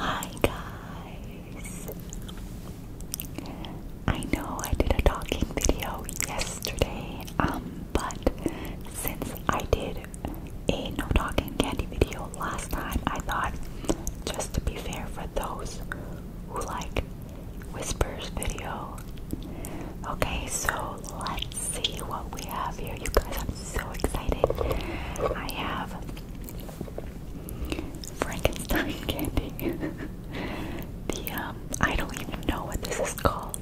Hi guys! I know I did a talking video yesterday, um, but since I did a no talking candy video last time, I thought just to be fair for those who like whispers video Okay, so let's see what we have here. You guys, I'm so excited. I have Frankenstein candy. the um, I don't even know what this is called.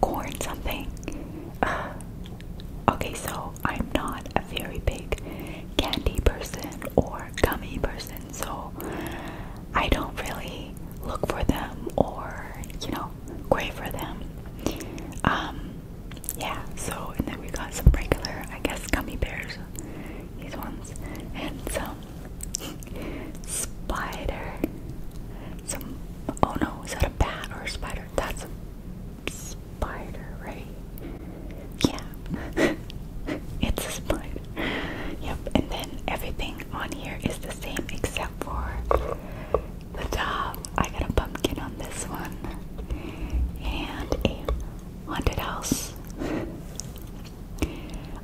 Corn something. okay, so I'm not a very big candy person or gummy person, so I don't really look for them or you know great for them. Um, yeah, so, and then we got some regular, I guess, gummy bears, these ones, and some spider, some, oh no, is that a bat or a spider? That's a spider, right? Yeah, it's a spider. Yep, and then everything on here is the same except for the top. I got a pumpkin on this one. And a haunted house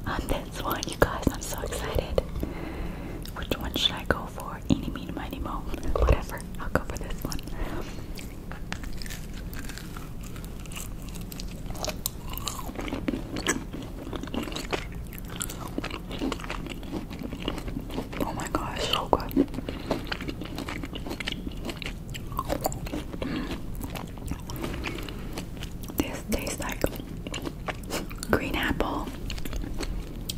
on this one. You guys, I'm so excited. Which one should I go for? Any meeny, miny, mo. Whatever. I'll go for this one. Oh my gosh, so good. This tastes like green apple.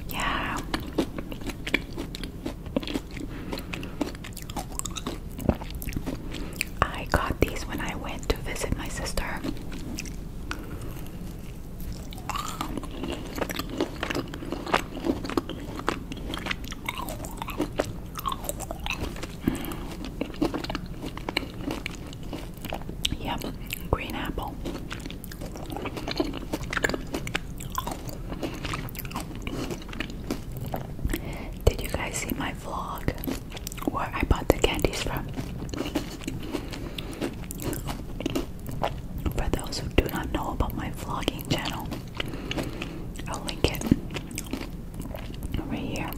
Yeah. I got these when I went to visit my sister. Yep, green apple. Did you guys see my vlog where I bought the candies from? For those who do not know about my vlogging channel, I'll link it right here.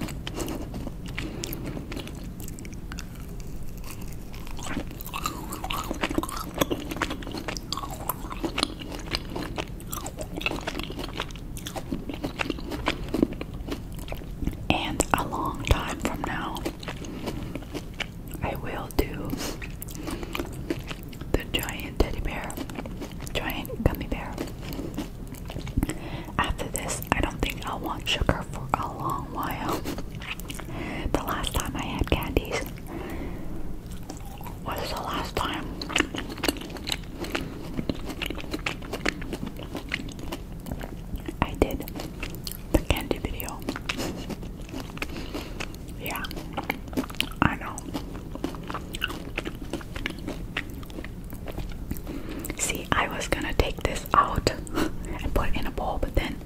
And a long time from now, I will do the giant teddy bear, giant gummy bear. After this, I don't think I'll want sugar for a long while. The last time I had candies was the last time. I did the candy video. yeah, I know. See, I was gonna take this out and put it in a bowl, but then,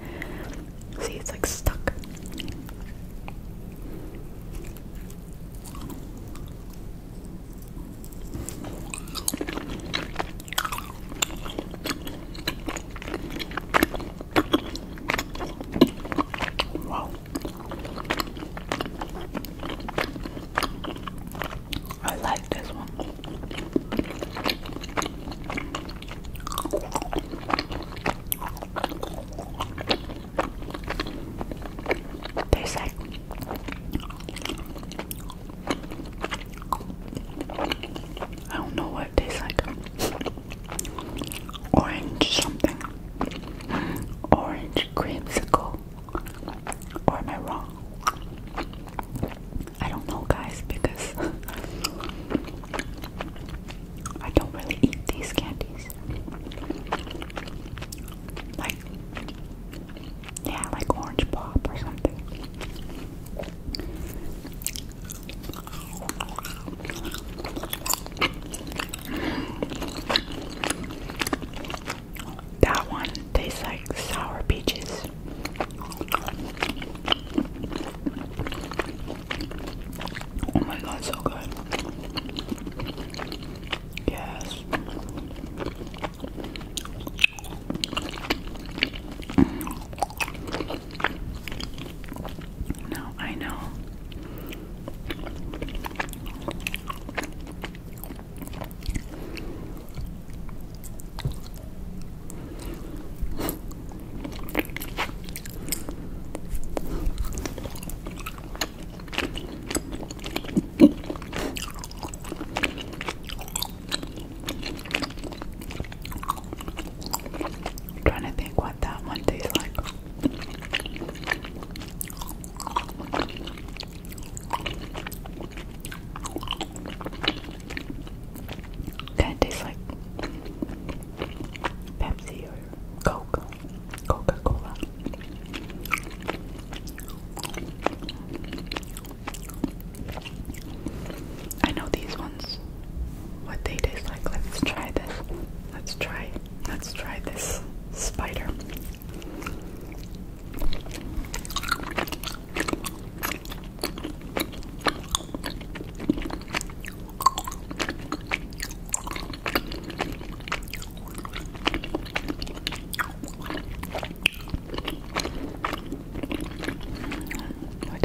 see, it's like stuck. Wow. I like this one. Tastes like I don't know what it tastes like. Orange something. Orange creamsicle. Or am I wrong? I don't know, guys, because I don't really eat these candies. Like, yeah, like orange pop or something. That one tastes like sour peaches. Oh my god, so good. Yes. Mm. No, I know. I'm trying to think what that one tastes like. Kind of tastes like Pepsi or Coke, Coca Cola. I know these ones, what they taste like. Let's try this. Let's try. Let's try this spider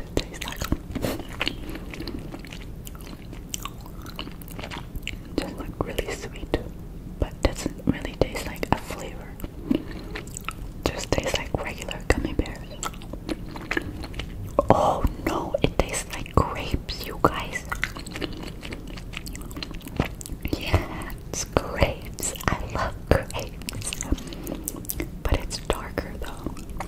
kind tastes like. Just like really sweet, but doesn't really taste like a flavor. Just tastes like regular gummy bears. Oh no, it tastes like grapes, you guys. Yeah, it's grapes. I love grapes. But it's darker though.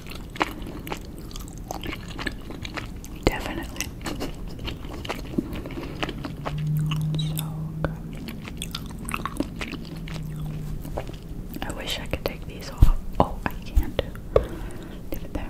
Definitely. So good. I wish I could take these off. Oh, I can't. Leave it there.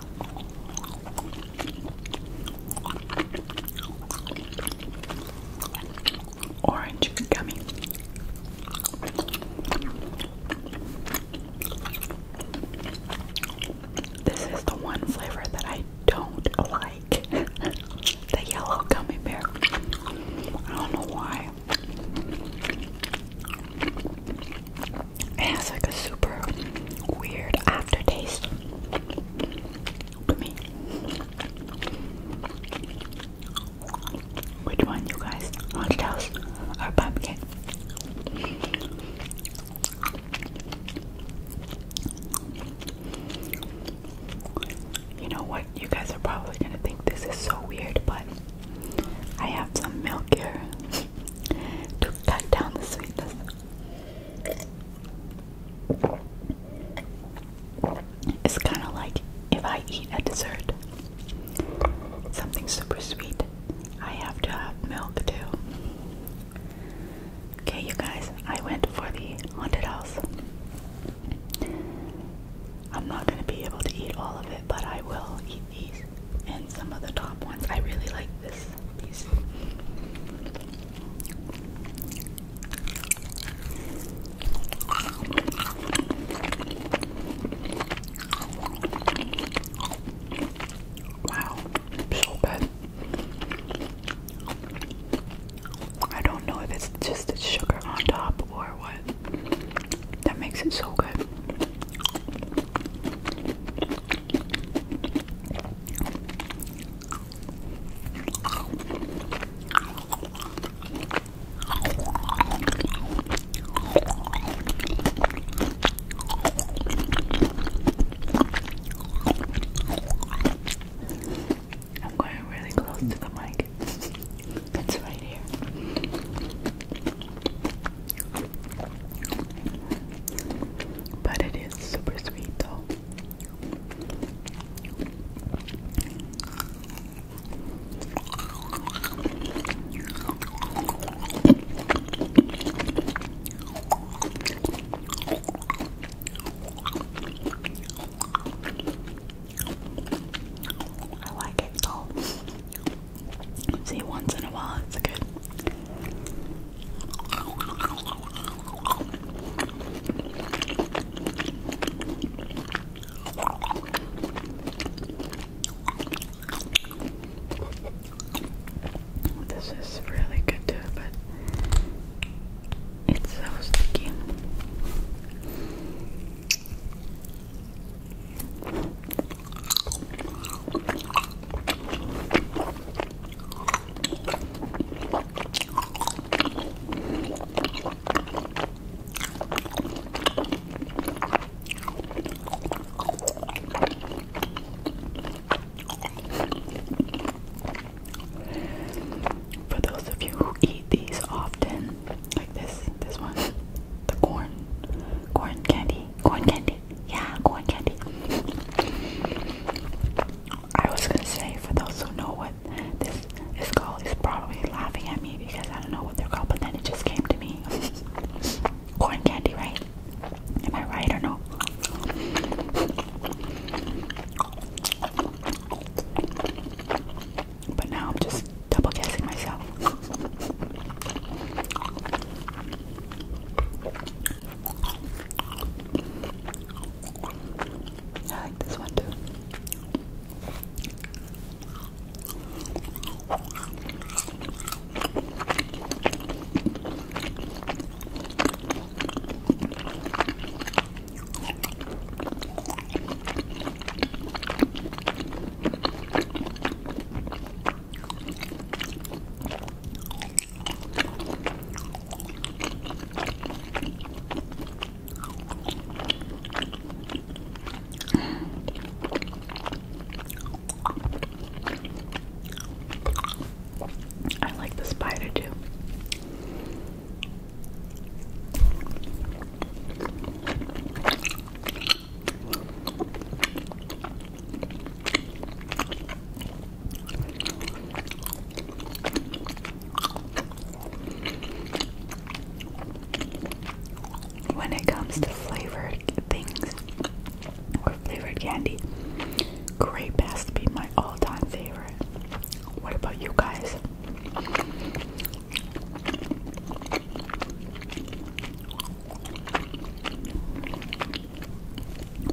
Orange gummy. This is the one flavor that I don't like. the yellow gummy bear. I don't know why. It has like a super weird aftertaste Which one, you guys? Haunted or Pumpkin? You know what? You guys are probably gonna think this is so weird, but I have some milk here to cut down the sweetness. It's kind of like if I eat a dessert, something super sweet, I have to have milk too. Okay, you guys, I went for the haunted house. I'm not going to be able to eat all of it, but I will eat these some of the top ones. I really like this piece. Wow, so good. I don't know if it's just the sugar on top or what. That makes it so good. I'm going really close to the mic. It's right here. But it is super sweet though. I like it though. See, once in a while it's good. This is really good too, but it's so sticky. For those of you who eat these often, like this, this one, the corn, corn candy, corn candy. Yeah, corn candy. I was gonna say for those who know what this is called is probably laughing at me because I don't know what they're called, but then it just came to me. corn candy, right? Am I right or no? But now I'm just double guessing myself. I like this one too. I like the spider too. When it comes to flavored things or flavored candy, grape has to be my all time favorite. What about you guys?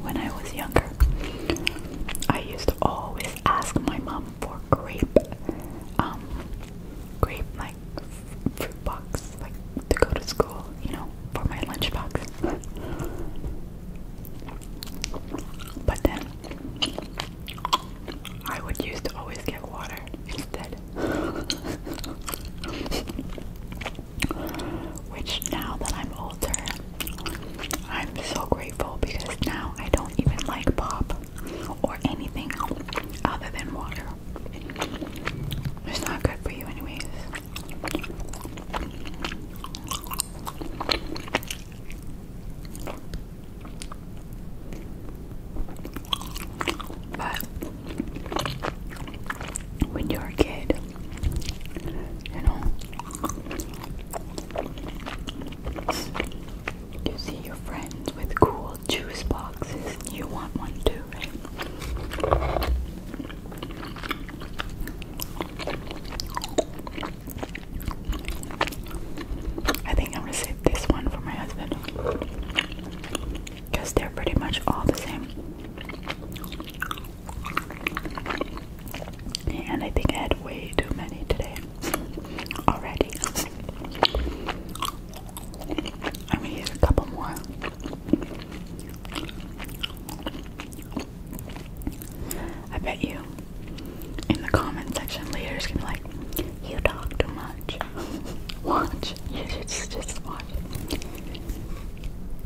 When I was younger, I used to always ask my mom for grape, um, grape like fruit box, like to go to school, you know, for my lunchbox. But then I would used to always get water instead. Which now that I'm older, I'm so grateful because now I don't even like pop or anything other than water. It's not good for you, anyways. But when you're a kid, you know. You see your friends with cool juice boxes, and you want one too, right? I think I'm gonna save this one for my husband because they're pretty much all the same. And I think I had way too many today already. I'm gonna use a couple more. I bet you in the comment section later is gonna be like, you talk too much. Watch. You should just watch.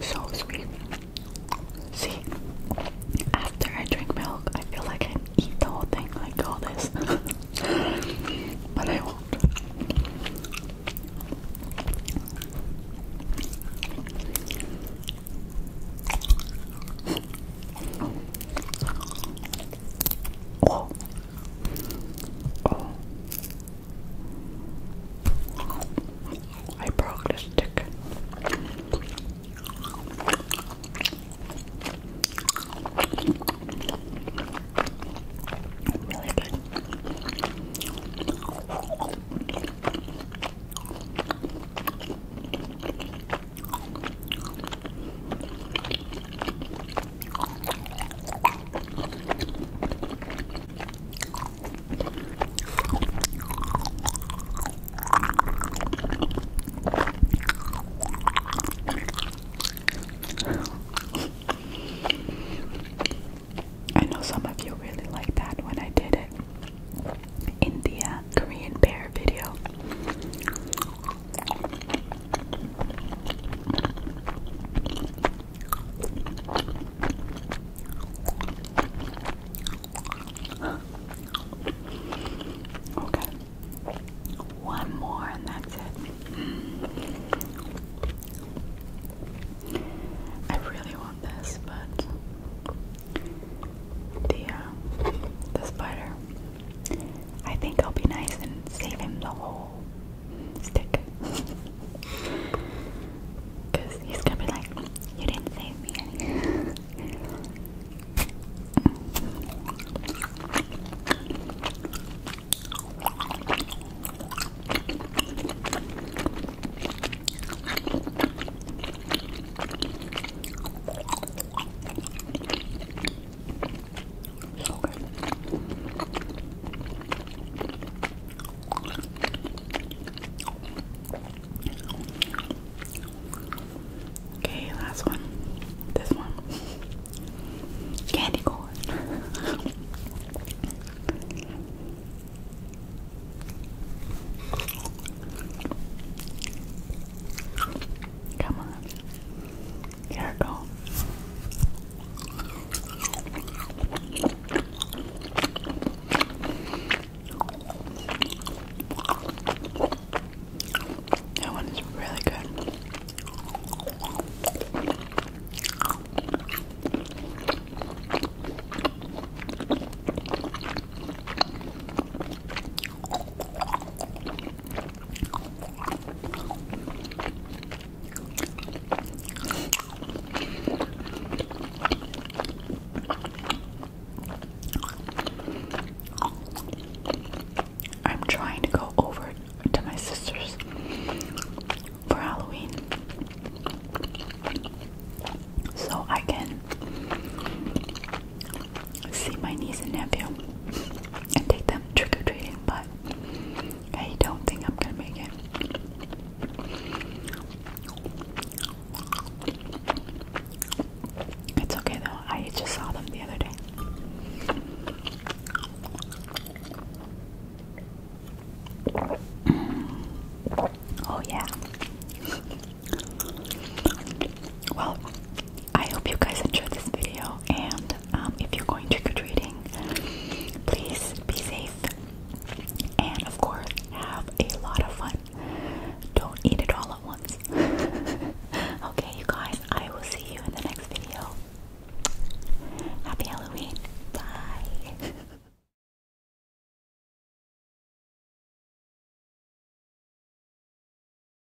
So sweet. See, after I drink milk, I feel like I can eat the whole thing, like all this. but I won't. I broke the stick. Really good. I know some of you really like that when I did it in the uh, Korean bear video. Okay. One more and that's it. Mm. I really want this, but the uh, the spider I think I'll be nice and save him the whole stick. he's gonna be like, You didn't save me Okay, last one. This one. Candy corn. Come on. Here we go. That one is really good. I'm trying to go over to my sister's for Halloween so I can see my niece and nephew and take them trick or treating, but I don't think I'm gonna make it. It's okay though, I just saw them the other day. Oh, yeah. Well, I hope you guys enjoyed this video, and um, if you're going trick or treating, please be safe, and of course, have a lot of fun. Don't eat it all at once. okay, you guys, I will see you in the next video. Happy Halloween. Bye.